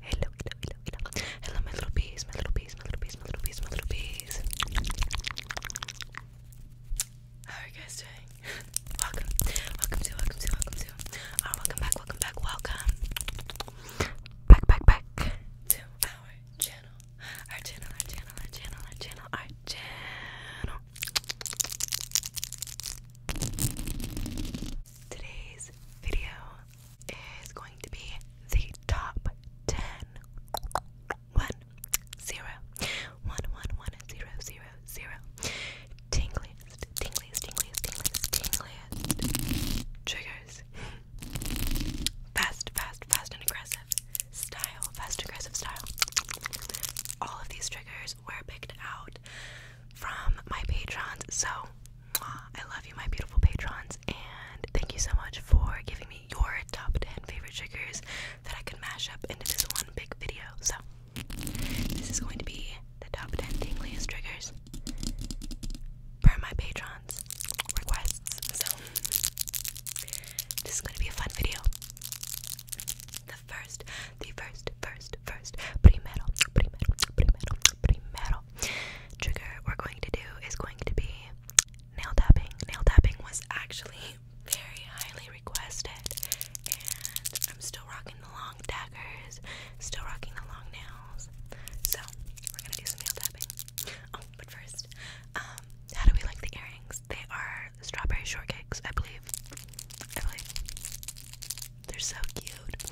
hello, hello, hello, hello, hello, my little bees, my little bees, my little bees, my little bees, my little bees. How guys welcome, welcome to, welcome to, welcome to. Our uh, welcome back, welcome back, welcome back, back, back to our channel, our channel, our channel, our channel, our channel. Today's video is going to be the top 10. 1, 0, 1, 1, 1, Triggers. Fast, fast, fast, and aggressive style. Fast, aggressive style. All of these triggers were picked out from my patrons, so I love you, my beautiful patrons, and thank you so much for giving me your top 10 favorite triggers that I can mash up into this one big video. So, this is going to be the top 10 tingliest triggers per my patrons' requests. So, this is going to be a fun video. The first, the first, first, first, trigger we're going to do is going to be nail tapping. Nail tapping was actually very highly requested, and I'm still rocking the long daggers, still rocking the long nails. So we're gonna do some nail tapping. Oh, but first, um, how do we like the earrings? They are strawberry shortcakes, I believe. I believe they're so cute.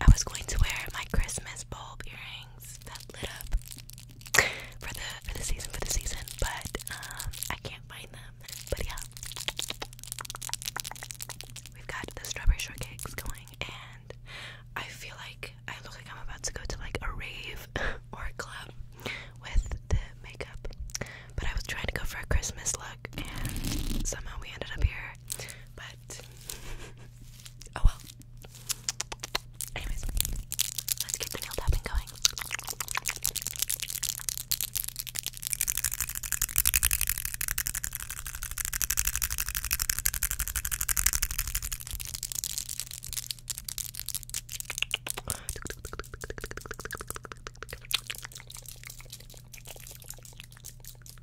I was going to wear my Christmas bulb earrings that lit up for the for the season for the season, but um, I can't find them. But yeah, we've got the strawberry shortcakes going, and I feel like I look like I'm about to go to like a rave or a club with the makeup. But I was trying to go for a Christmas look, and somehow we ended up here. But oh well. Anyways, let's get the nail tapping going.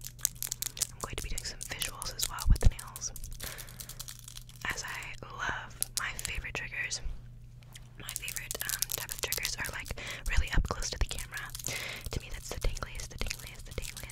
I'm going to be doing some visuals as well with the nails. As I love my favorite triggers. My favorite um, type of triggers are like really up close to the camera. To me, that's the tingliest, the tingliest, the tingliest.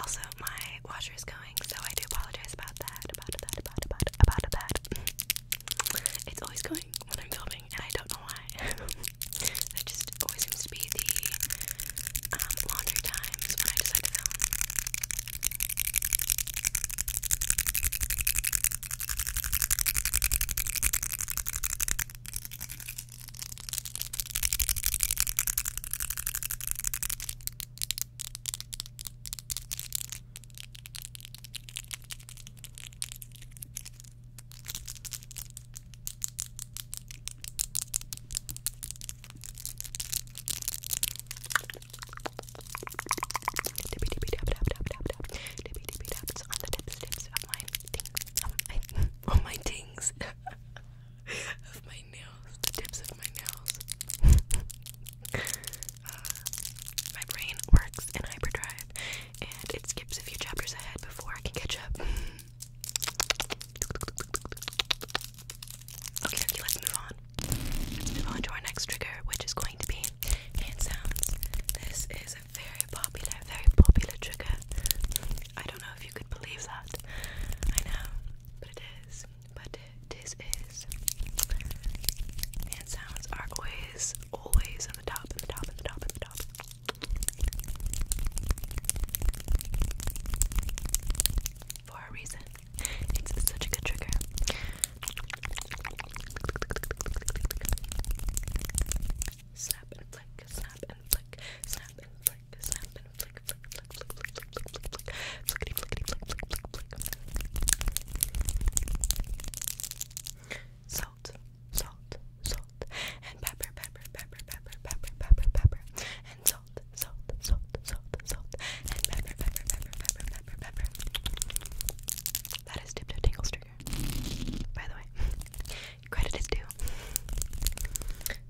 Also, my washer is going, so I do apologize about that. About that. About about about that. It's always going when I'm filming, and I don't know why. That just always seems to be the um, laundry times when I decide to film. Dippy dippy dab dab dab dab dab. Dippy dippy dabs on the tips tips of my things. Um, I, on my things. of my nails, the tips of my nails. Uh, my brain works in hyperdrive and it skips a few chapters ahead before I can catch up. Okay, let's move on. move on to our next trigger, which is going to be hand sounds. This is a very popular, very popular trigger. I don't know if you could believe that. I know, but it is. But this is. And sounds are always, always on the top, on the top, on the top, on the top. For a reason. It's such a good trigger. Snap and flick, snap and flick, snap and flick, snap and flick, flick, flick, flick, flick, flick, flick, flick, flickety, flickety, flick, flick, flick, flick. Salt, salt, salt, and pepper, pepper, pepper, pepper, pepper, pepper, pepper, and salt, salt, salt, salt, salt, and pepper, pepper, pepper, pepper, pepper, pepper. That is Dipto Tingle's trigger, by the way. Credit is due.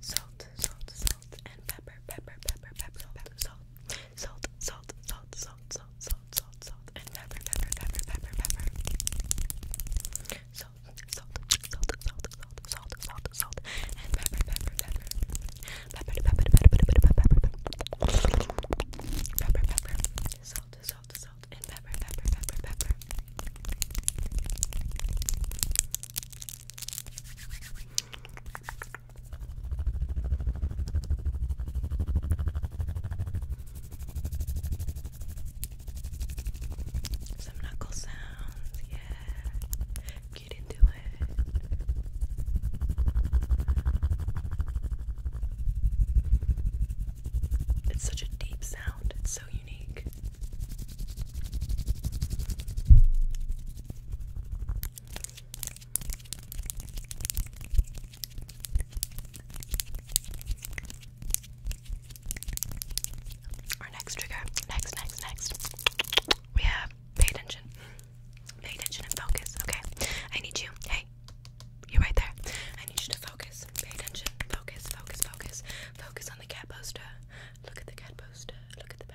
Salt, salt, salt, and pepper, pepper, pepper, pepper, pepper, salt salt, salt, salt, salt, salt, salt, salt, salt, and pepper, pepper, pepper, pepper, pepper. Salt, salt, salt, salt, salt, salt, salt, salt, and pepper, pepper, pepper. Pepper, pepper, pepper, pepper, pepper, pepper. Pepper, pepper. Salt, salt, salt, and pepper, pepper, pepper, pepper. Some knuckle sounds, yeah. Get into it. It's such a deep sound, it's so unique. Our next trigger, next, next, next. We have pay attention. Pay attention and focus, okay? I need you. Hey, you are right there. I need you to focus. Pay attention. Focus, focus, focus. Focus on the cat poster. Look at the cat poster. Look at the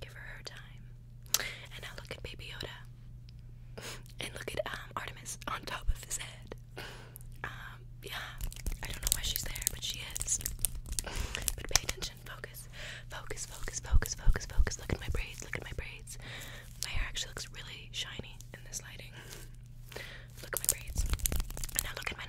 Give her her time. And now look at Baby Yoda. And look at um, Artemis on top of his head. Um, yeah. I don't know why she's there, but she is. But pay attention. Focus. Focus, focus, focus, focus, focus. Look at my braids. Look at my braids. My hair actually looks really shiny in this lighting. Look at my braids. And now look at my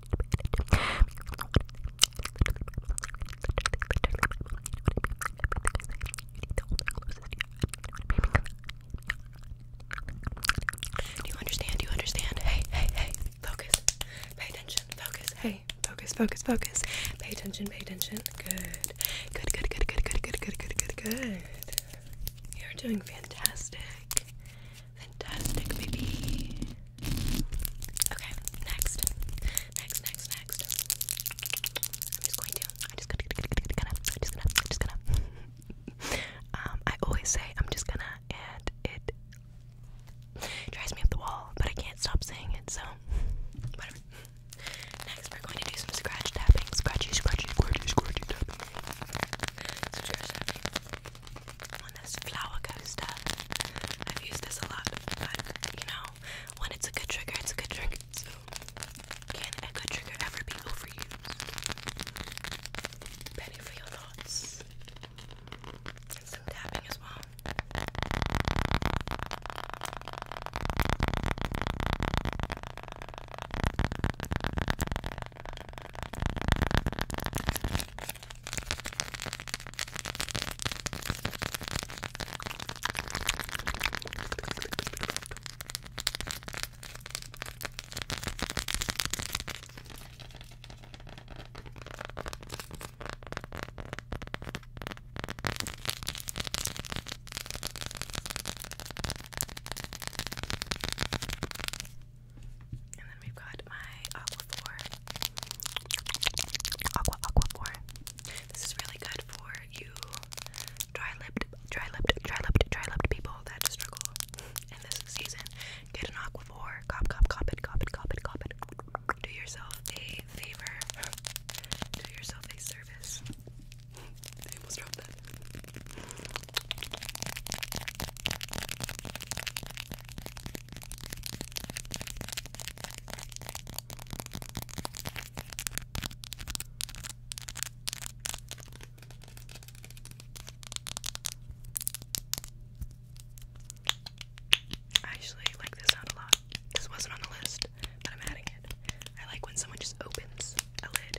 Do you understand? Do you understand? Hey, hey, hey, focus. Pay attention. Focus. Hey, focus, focus, focus. Pay attention, pay attention. Good. Good, good, good, good, good, good, good, good, good, good. You're doing fantastic. Fantastic, baby. Okay, next. Next, next, next. I'm just going to. I'm just gonna. I'm just gonna. I'm just gonna. um, I always say I'm just gonna, and it drives me up the wall, but I can't stop saying it, so whatever. Next, we're going to do some scratch tapping. Scratchy, scratchy, scratchy, scratchy tapping. Some scratch tapping this flower coaster. I've used this a lot, but you know, when it's a good trigger, it's a good trigger. So, can a good trigger ever be overused? Penny for your thoughts. And some tapping as well. And then we've got got my Aquaphor. Aqua Aquaphor. This is really good for you dry-lipped, dry-lipped, dry-lipped, dry-lipped people that struggle in this season. Get an Aquaphor. Cop, cop, cop it, cop it, cop it, cop it. Do yourself a favor. Do yourself a service. I actually like this sound a lot. This wasn't on the list, but I'm adding it. I like when someone just opens a lid.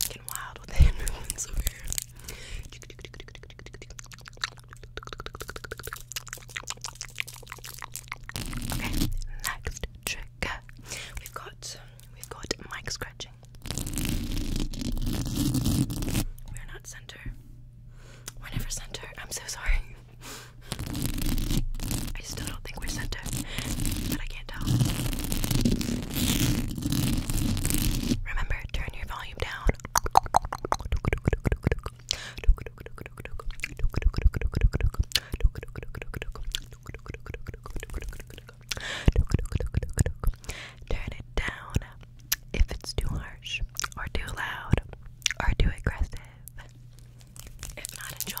Getting wild with the hand movements over here. Okay, next trick We've got we've got mic scratching. We're not center. We're never center. I'm so sorry. I still don't think we're center, but I can't tell. Remember, turn your volume down. Turn it down if it's too harsh or too loud or too aggressive. If not, enjoy.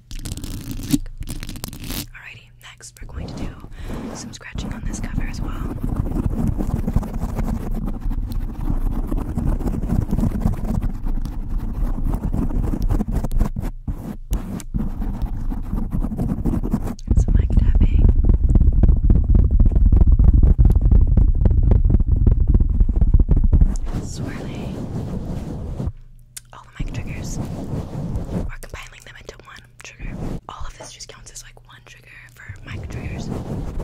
click. Alrighty, next we're going to do some scratching on this cover as well. some mic tapping. Swirling all the mic triggers or compiling them into one trigger. All of this just counts as like one trigger for mic triggers. All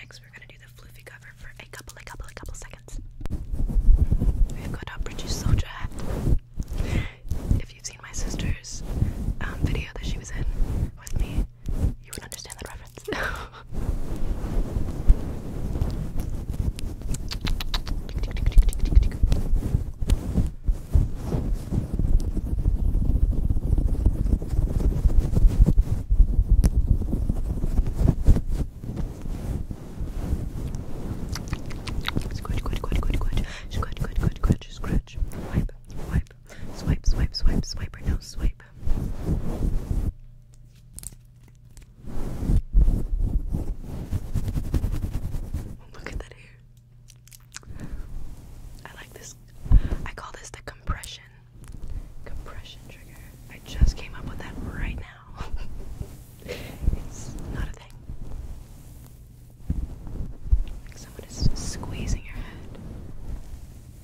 next we're gonna do the fluffy cover for a couple, a couple, a couple seconds. We've got our British soldier If you've seen my sister's um, video that she was in with me, you would understand that reference. Scratch, scratch, scratch, scratch, scratch, scratch, scratch, scratch. Swipe, swipe, swipe, swipe, swipe, no swipe. Look at that hair. I like this. I call this the compression Compression trigger. I just came up with that right now. it's not a thing. someone is squeezing your head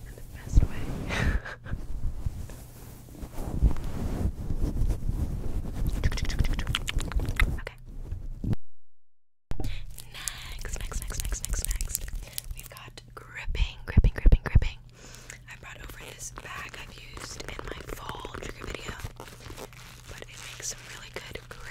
in the best way. Okay. Next, next, next, next, next, next. We've got gripping, gripping, gripping, gripping. I brought over this bag I've used in my fall trigger video, but it makes some really good gripping.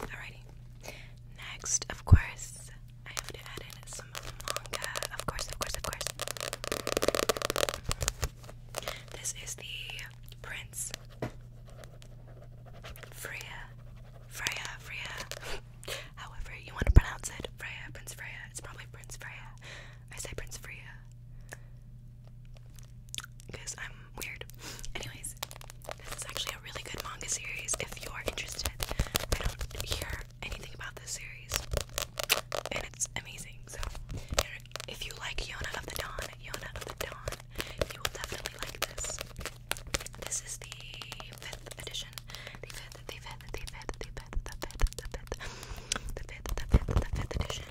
Alrighty. Next, of course, I have to add in some manga. Of course, of course, of course. This is the Prince Freya. Freya, Freya. However, you want to pronounce it. Freya, Prince Freya. It's probably Prince Freya. I say Prince Freya because I'm weird. Anyways, this is actually a really good manga series if you are interested. I don't hear anything about this series, and it's amazing. So, if you like Yona of the Dawn, Yona of the Dawn, you will definitely like this. This is the fifth edition. the fifth edition.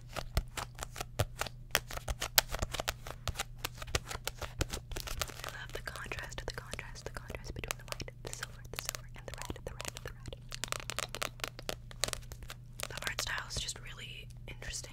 I love the contrast, the contrast, the contrast between the white, the silver, the silver, and the red, the red, the red. The art style is just really interesting.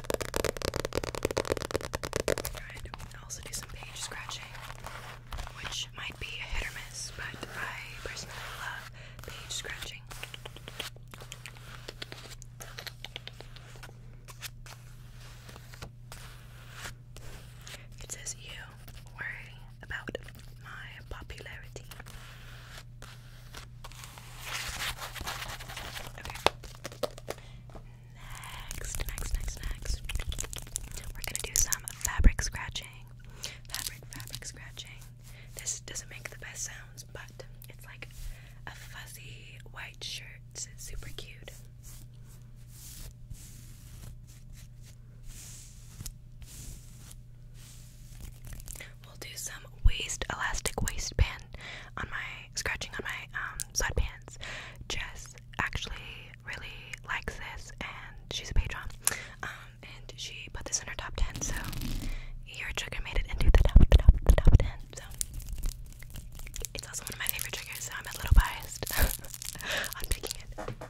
i also do some page scratching, which might be a hit or miss, but I personally love page scratching. It says, You worry about my popularity next, next, next, next, we're gonna do some fabric scratching. Fabric, fabric scratching. This doesn't make the best sounds, but it's like a fuzzy white shirt. super cute. We'll do some waist elastic waistband on my scratching on my um, sweatpants. Jess actually really likes this, and she's a patron. Um, and she put this in her top ten, so your trigger made it into the top, top, top ten. So it's also one of my favorite triggers, so I'm a little biased on picking it.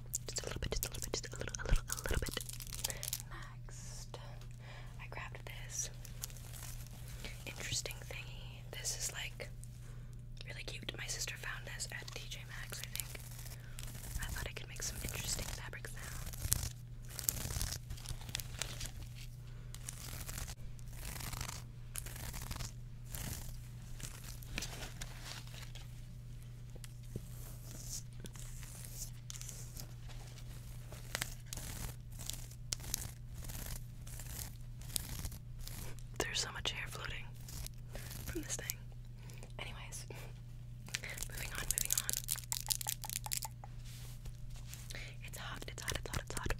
Just a little bit, just a little bit, just a little, a little, a little bit. Next, I grabbed this interesting thingy. This is like really cute. My sister found this at TJ Maxx, I think. I thought I could make some interesting fabrics sounds. There's so much hair floating from this thing. Anyways, moving on, moving on. It's hot, it's hot, it's hot, it's hot.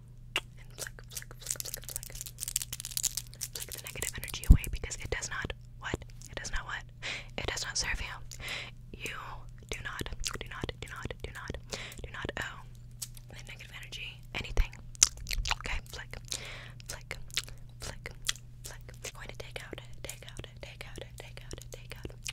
flick, flick, flick, flick, flick. the negative energy away because it does not what? It does not what? It does not serve you. You do not, do not, do not, do not, do not owe the negative energy anything. Okay, flick, flick, flick, flick. I'm going to take out, take out, take out, take out, take out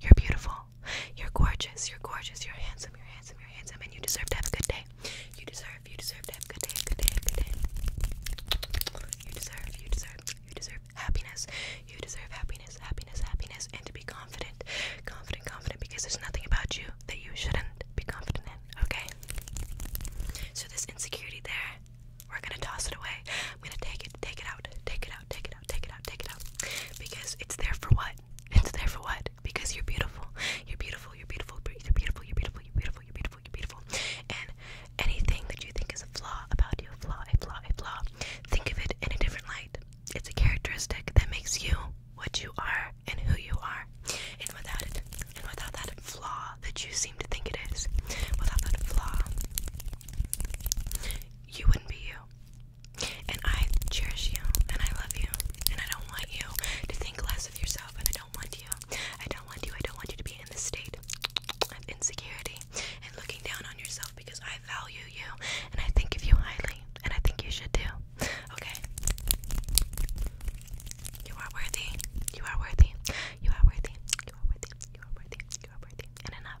You're beautiful. You're gorgeous. You're gorgeous. You're handsome. You're handsome. You're handsome. And you deserve to have a good day. You deserve. You deserve to have a good day. Good day. Good day. You deserve. You deserve. You deserve happiness. You deserve happiness. Happiness. Happiness. And to be confident. Confident. Confident. Because there's nothing about you that you shouldn't be confident in. Okay. So this insecurity there, we're gonna toss it away. I'm gonna take it. Take it out. Take it out. Take it. out take it out, take it out. Because it's there for what? It's there for what? Because you're beautiful. You're beautiful, you're beautiful, you're beautiful, you're beautiful, you're beautiful, you're beautiful, you're beautiful. And anything that you think is a flaw about you, a flaw, a flaw, a flaw, think of it in a different light. It's a characteristic that makes you what you are and who you are. And without it, and without that flaw that you seem to think it is, without that flaw, you wouldn't be you. And I cherish you, and I love you, and I don't want you to think less of yourself, and I don't want you. I don't want you. I don't want you to be in this state of insecurity and looking down on yourself because I value you, and I think of you highly, and I think you should too. Okay? You are worthy. You are worthy. You are worthy. You are worthy. You are worthy. You are worthy. enough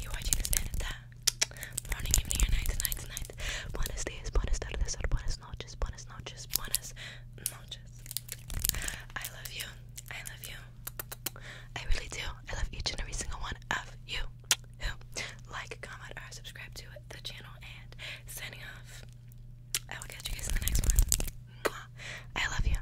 you're watching this and that. Morning, evening, night, night, night. Buenos dias, buenas tardes, buenas noches, buenas noches, buenas noches. I love you. I love you. I really do. I love each and every single one of you like, comment, or subscribe to the channel. And signing off. I will catch you guys in the next one. I love you.